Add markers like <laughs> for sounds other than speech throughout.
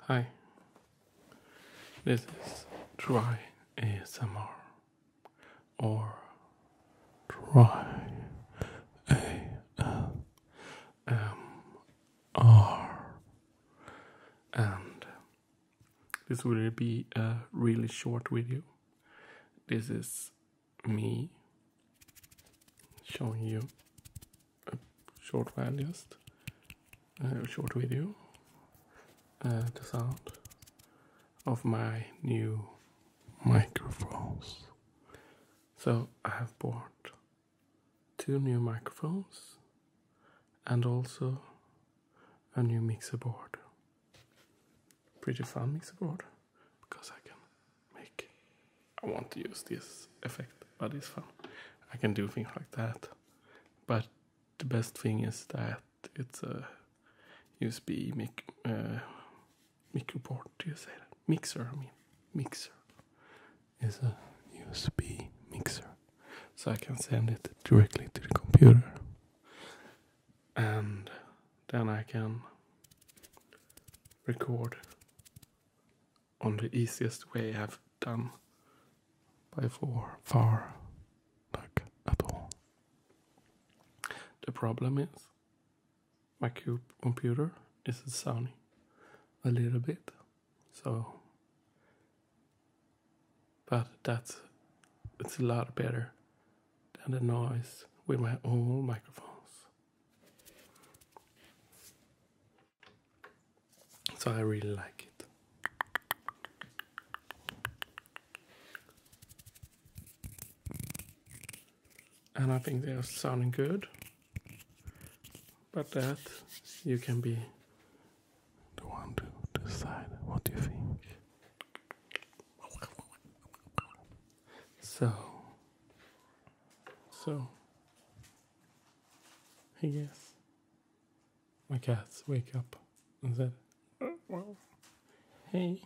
Hi, this is Try ASMR or Try ASMR, and this will be a really short video. This is me showing you a short video, a short video, uh, the sound of my new microphones. So I have bought two new microphones and also a new mixer board. Pretty fun mixer board because I can make. I want to use this effect, but it's fun. I can do things like that. But the best thing is that it's a USB mic, uh, port. Do you say Mixer, I mean. Mixer is a USB mixer. So I can send it directly to the computer. And then I can record on the easiest way I've done by far, far like Apple. The problem is my cube computer is sounding a little bit, so but that's it's a lot better than the noise with my own microphones. So I really like it. And I think they are sounding good. But that you can be the one to decide what you think. So So, I guess my cats wake up and said, well, hey,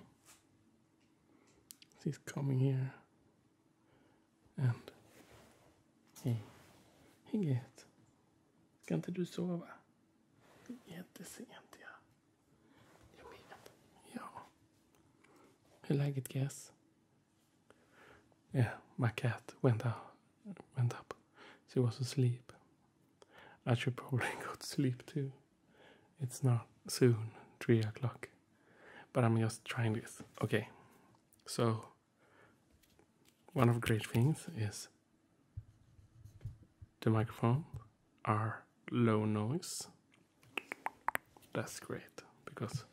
she's coming here. And, hej, hej get. Ska inte du sova? Jättesent ja. Jag menar, ja. Hur Guess? Yeah, my cat went out, went up. She was asleep. I should probably go to sleep too. It's not soon, three o'clock. But I'm just trying this. Okay, so one of the great things is the microphone are low noise. That's great because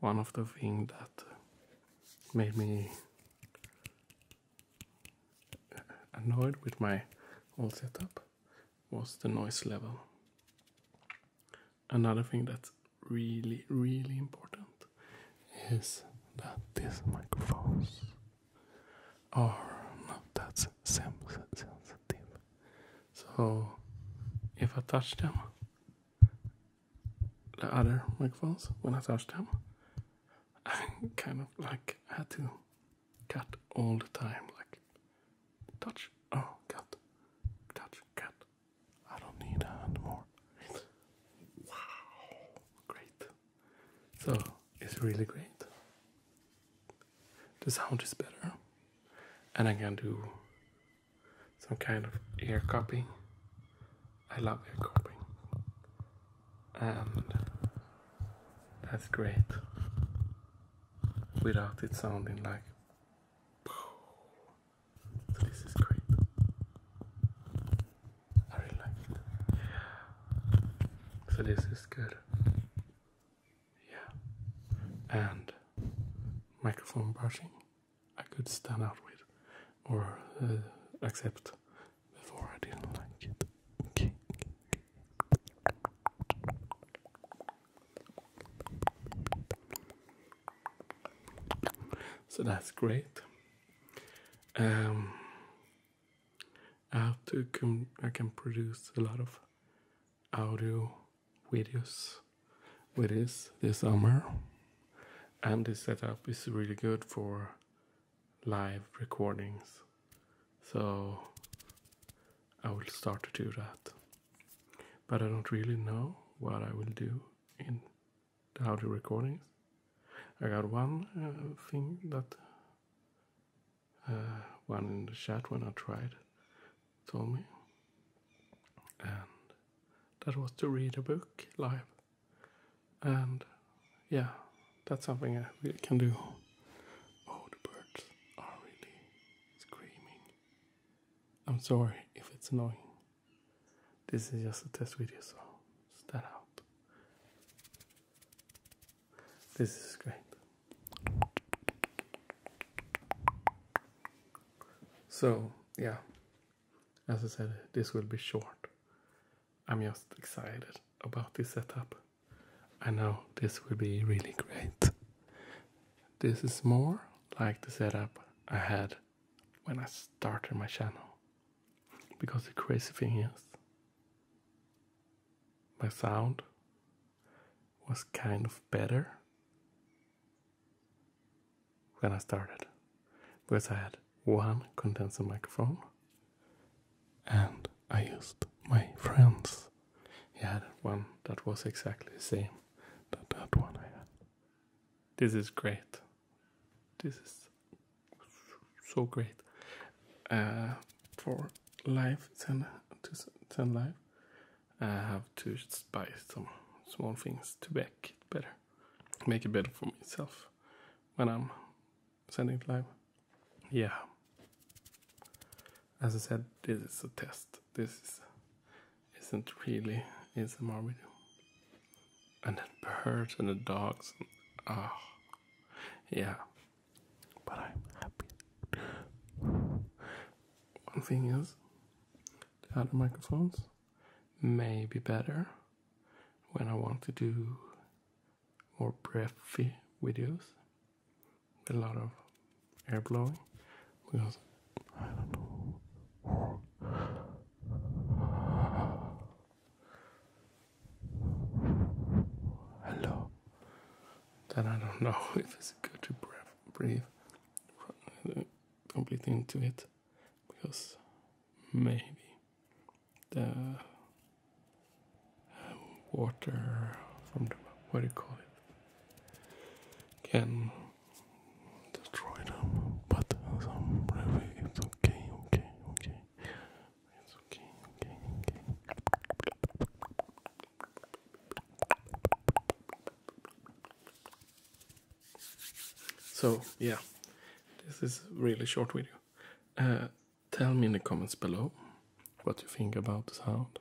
one of the thing that uh, made me annoyed with my whole setup was the noise level. Another thing that's really, really important is that these microphones are not that sensitive. So if I touch them, the other microphones, when I touch them, <laughs> I kind of like had to cut all the time, like touch, oh, cut, touch, cut. I don't need a more. wow, great. So it's really great the sound is better and I can do some kind of ear copying. I love ear copying, and that's great without it sounding like. this is great. I really like it. So this is good yeah, and microphone brushing I could stand out with or uh, accept before I didn't like it. Okay. So that's great. Um, I have to I can produce a lot of audio videos with this this summer, and this setup is really good for live recordings. So I will start to do that, but I don't really know what I will do in the audio recordings. I got one uh, thing that uh, one in the chat when I tried told me. And that was to read a book live. And yeah, that's something I can do. Oh, the birds are really screaming. I'm sorry if it's annoying. This is just a test video, so stand out. This is great. So, yeah, as I said, this will be short. I'm just excited about this setup. I know this will be really great. This is more like the setup I had when I started my channel. Because the crazy thing is, my sound was kind of better when I started because I had one condenser microphone and I used my friends. He had one that was exactly the same that that one I had. This is great. This is so great. Uh, for live than to than live, I have to buy some small things to make it better, make it better for myself when I'm sending it live. Yeah. As I said, this is a test. This is, not really is a video. And the birds and the dogs. And, ah, yeah but I'm happy. One thing is, the other microphones may be better when I want to do more breathy videos a lot of air blowing because I don't know hello that I don't know <laughs> if it's good to breathe, breathe completely into it because maybe the um, water from the what do you call it can destroy them but some breath it's okay okay okay so, yeah, this is really short video. Uh, tell me in the comments below what you think about the sound.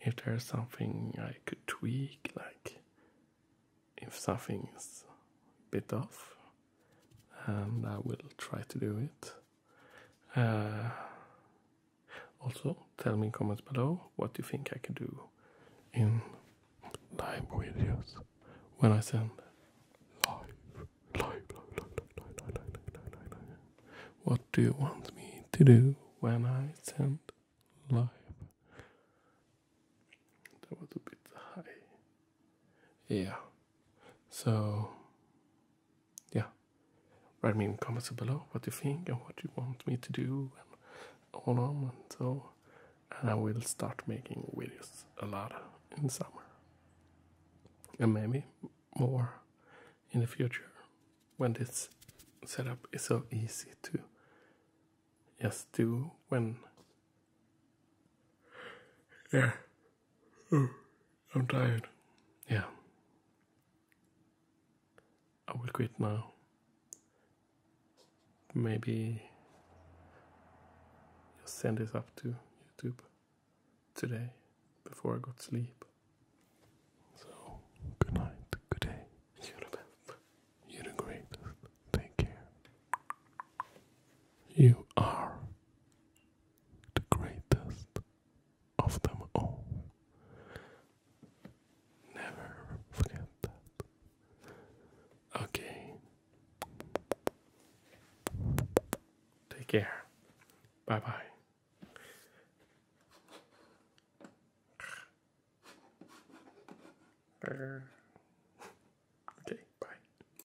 If there's something I could tweak, like if something is bit off, and I will try to do it also, tell me in comments below what you think I can do in live videos when I send live, live, live, live, live, live, live, live, live, live. What do you want me to do when I send live? That was a bit high yeah so yeah write me in comments below what you think and what you want me to do and on on and so and I will start making videos a lot in summer and maybe more in the future when this setup is so easy to just do when yeah. I'm tired. Yeah. I will quit now. Maybe you'll send this up to YouTube today before I go to sleep. So, good night, good day. You're the best. You're the greatest. Take care. You are the greatest of them all. Never forget that. Okay. Take care. Bye bye. Okay, bye.